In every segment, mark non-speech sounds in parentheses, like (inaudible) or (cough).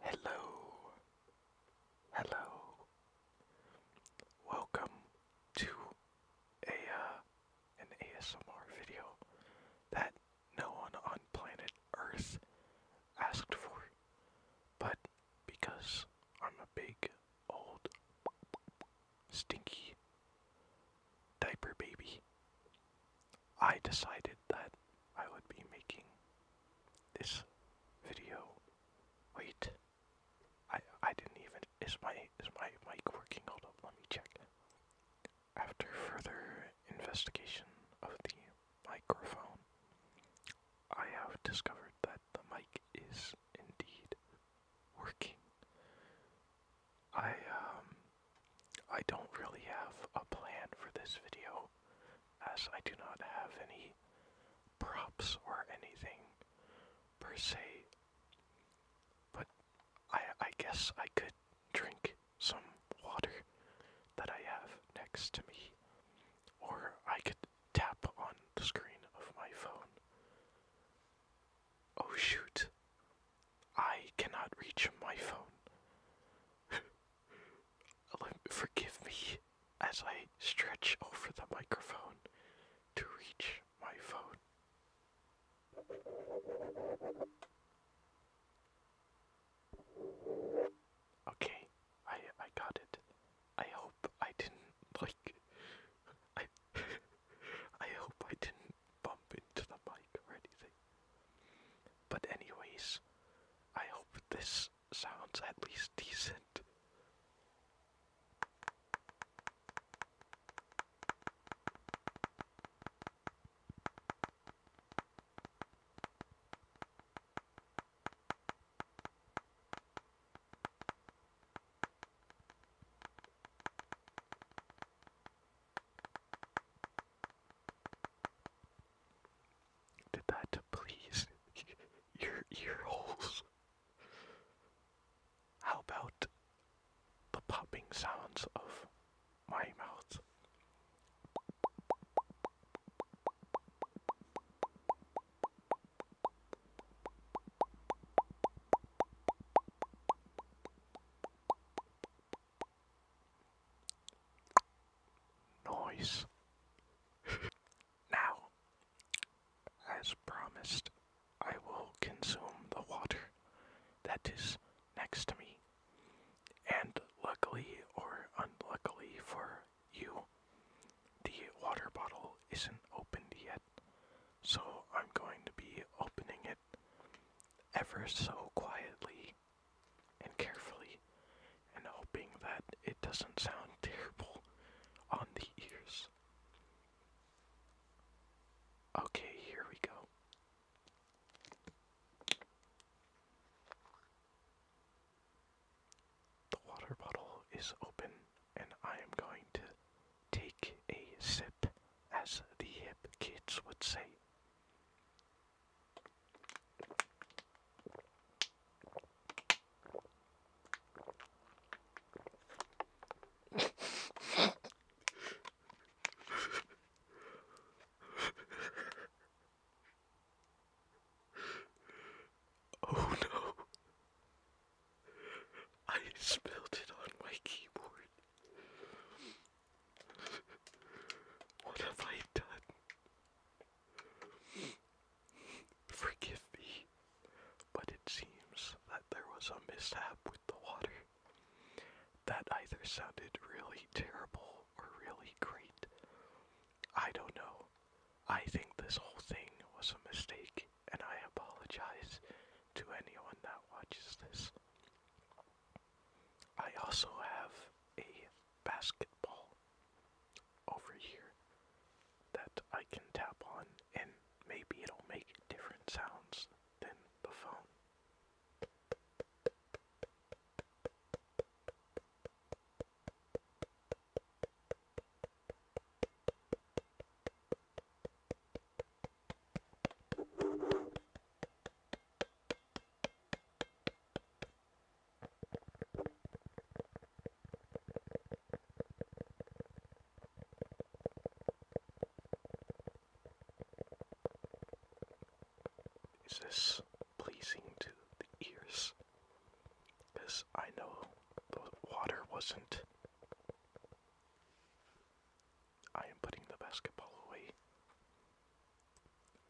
Hello. Hello. Welcome to a uh, an ASMR video that no one on planet Earth asked for. But because I'm a big old stinky diaper baby, I decided that I would be making this video. Wait. I I didn't even is my is my mic working? Hold up, let me check. After further investigation of the microphone, I have discovered that the mic is indeed working. I um I don't really have a plan for this video as I do not have any props or anything per se. But I I guess I could drink some water that I have next to me. Or I could tap on the screen of my phone. Oh shoot. I cannot reach my phone. (laughs) Forgive me as I stretch over the microphone to reach my phone. Okay, I I got it. I hope I didn't like (laughs) I (laughs) I hope I didn't bump into the mic or anything. But anyways, I hope this sounds at least decent. Did that please your ear How about the popping sounds of my mouth? noise. now, as promised, I will consume the water that is next to me. And luckily or unluckily for you, the water bottle isn't opened yet. So I'm going to be opening it ever so quietly and carefully, and hoping that it doesn't sound (laughs) terrible on the ears. Okay, here we go. The water bottle is open, and I am going to Take a sip, as the hip kids would say. (laughs) oh no. I spilled it on my keyboard. What have I done? Forgive me, but it seems that there was a mishap with the water. That either sounded really terrible or really great. I don't know. I think this whole thing was a mistake and I apologize to anyone that watches this. I also have a basketball over here that I can tap on, and maybe it'll make different sounds than the phone. Is this pleasing to the ears? Because I know the water wasn't I am putting the basketball away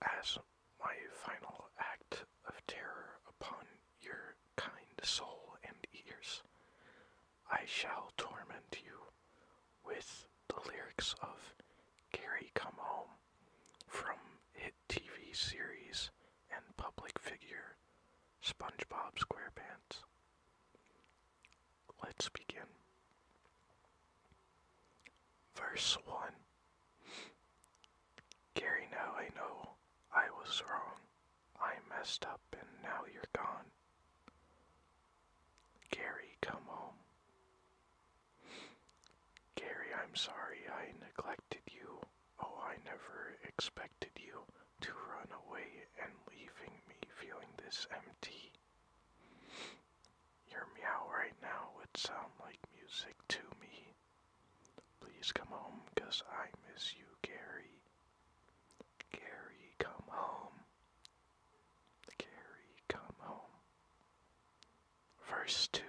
as my final act of terror upon your kind soul and ears. I shall torment you with the lyrics of Gary Come Home from hit TV series and public figure SpongeBob SquarePants. Let's begin. Verse 1 Gary, now I know I was wrong. I messed up and now you're gone. Gary, come home. Gary, I'm sorry I neglected you. Oh, I never expected you to run away and leaving me feeling this empty. Your meow right now would sound like music to me. Please come home, I miss you, Gary. Gary, come home. Gary, come home. Verse 2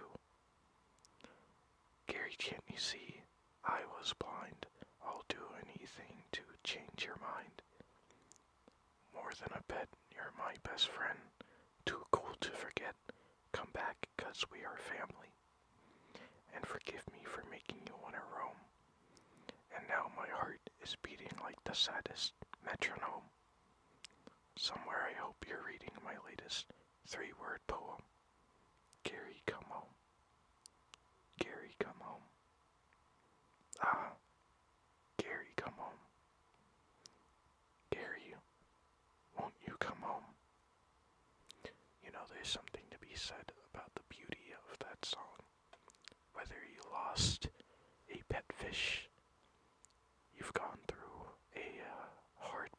Gary, can't you see? I was blind. I'll do anything to change your mind. More than a bet, you're my best friend. Too cold to forget. Come back, cause we are family. And forgive me for making you wanna roam. And now my heart is beating like the saddest metronome. Somewhere I hope you're reading my latest three word poem. Gary, come home. Gary, come home. Ah, Gary, come home. Gary, won't you come home? You know, there's something to be said about the beauty of that song. Whether you lost a pet fish, you've gone through a uh, hard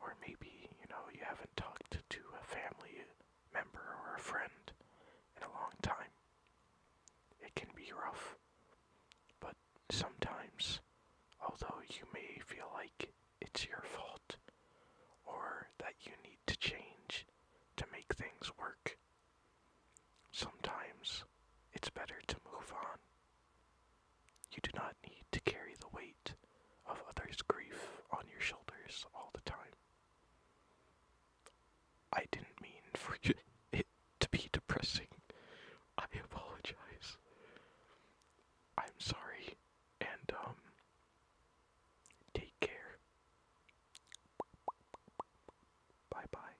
or maybe, you know, you haven't talked to a family member or a friend in a long time. It can be rough, but sometimes, although you may feel like it's your fault or that you need to change to make things work, sometimes it's better to move on. You do not need to carry the weight of others' grief on your shoulders all the time. I didn't mean for (laughs) it to be depressing. I apologize. I'm sorry, and um, take care. Bye bye.